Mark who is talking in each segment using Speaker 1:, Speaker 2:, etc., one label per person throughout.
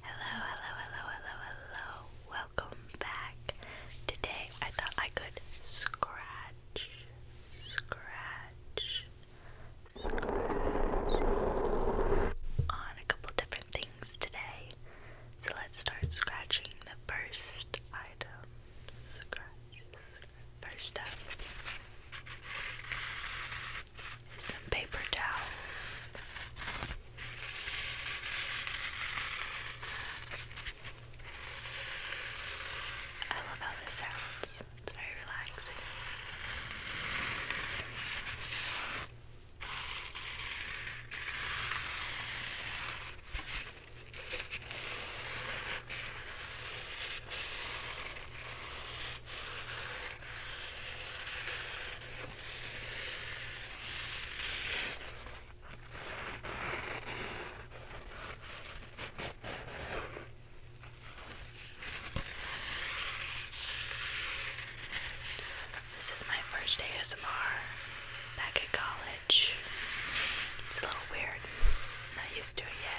Speaker 1: Hello, hello, hello, hello, hello. Welcome back. Today I thought I could scratch, scratch, scratch on a couple different things today. So let's start scratching the first item. Scratch, scratch. First up, some paper towels. I love how this sounds, it's very relaxing. This is my first ASMR back at college. It's a little weird. Not used to it yet.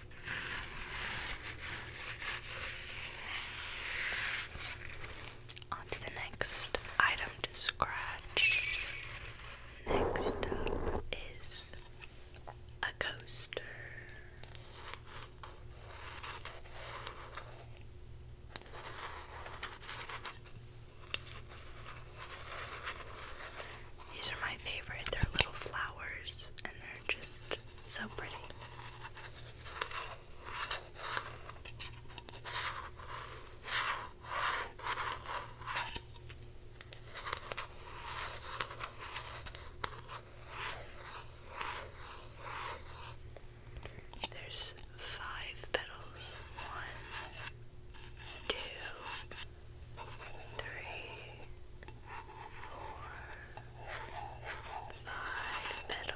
Speaker 1: On the next item to scratch. Next up is a coaster. These are my favorite. They're little flowers and they're just so pretty. There's five petals. One, two, three, four, five petals.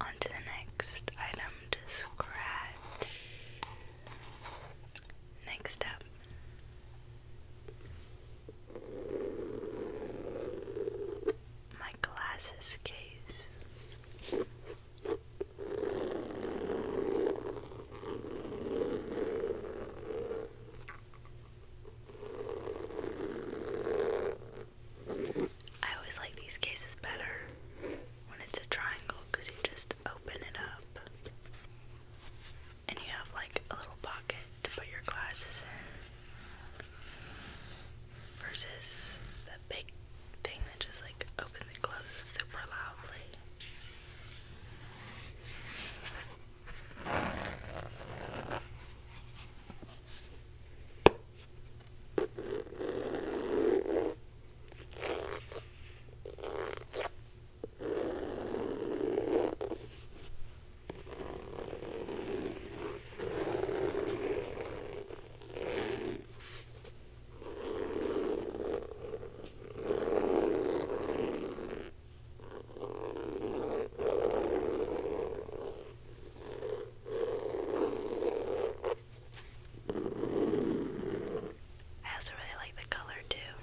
Speaker 1: On to the next item to scratch. Next up my glasses case. I always like these cases better when it's a triangle because you just open it up and you have like a little pocket to put your glasses in versus the big thing that just like opens and closes super loudly. I also really like the color too.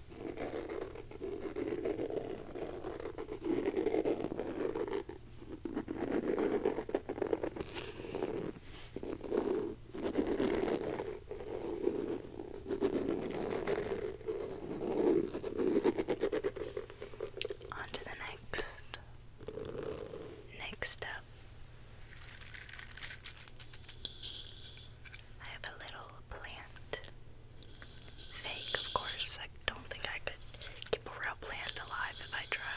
Speaker 2: On to the next next step.
Speaker 1: I have a little plant. Fake, of course. I don't think I could keep a real plant alive if I tried.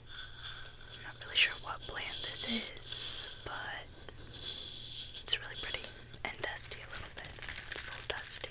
Speaker 1: I'm not really sure what plant this is, but it's really pretty and dusty a little bit. It's a little dusty.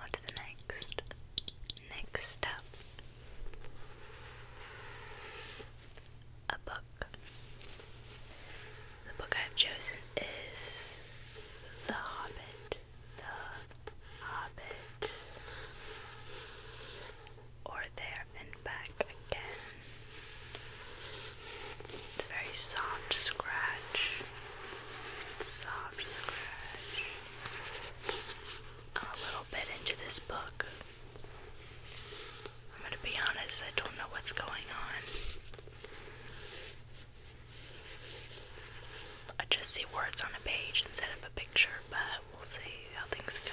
Speaker 1: On to the next next step. A book. The book I've chosen is The Hobbit. The Hobbit. Or There and Back Again. It's a very soft scratch. Soft scratch a little bit into this book. I'm going to be honest, I don't know what's going on. I just see words on a page instead of a picture, but we'll see how things go.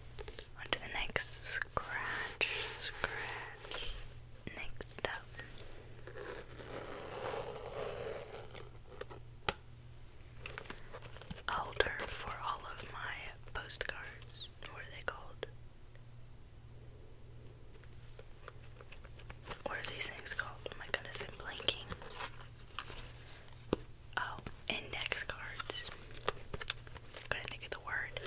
Speaker 1: On the next scratch, scratch. Next up. Alder for all of my postcards. What are they called? What are these things called? Oh my goodness, I'm blanking. Oh, index cards couldn't think of the word.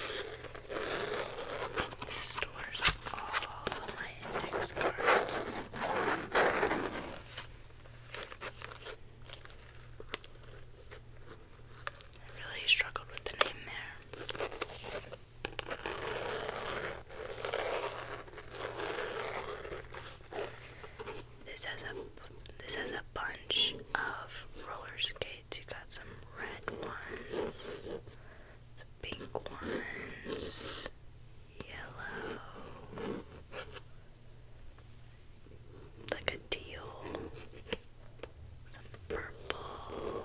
Speaker 1: This stores all of my index cards. really struggled with the name there. This has a this has a bunch of rollerskates you got some red ones, some pink ones, yellow, like a teal, some purple.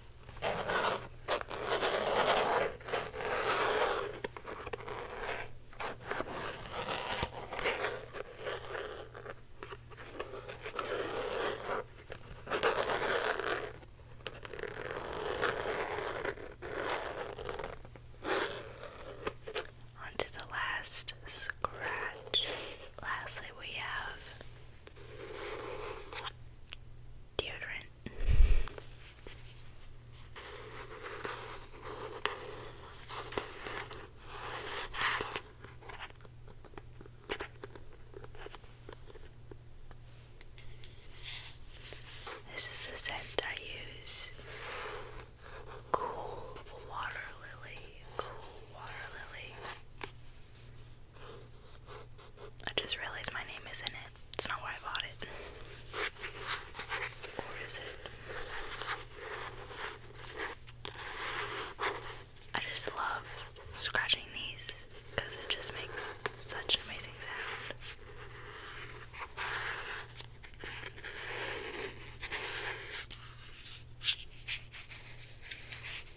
Speaker 1: On to the last scratch. Lastly, we have deodorant. This is the scent I use. Cool water lily. Cool water lily. I just realized my name is in it. It's not why I bought it. Or is it? I just love scratching these because it just makes such amazing sound.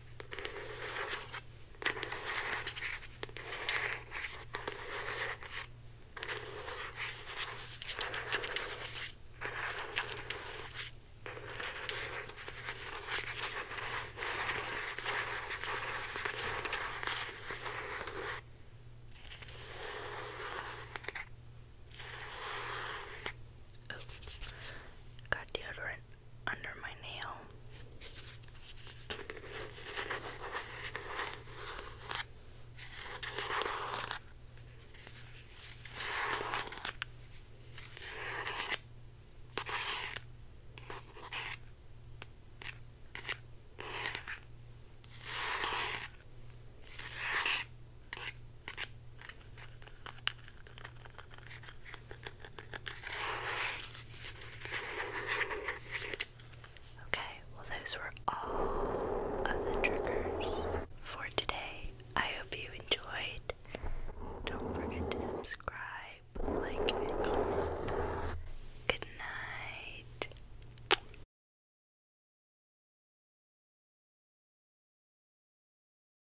Speaker 1: Oh, got deodorant under my nail. Okay, well, those were all of the triggers for today. I hope you enjoyed. Don't forget to subscribe, like, and comment. Good night.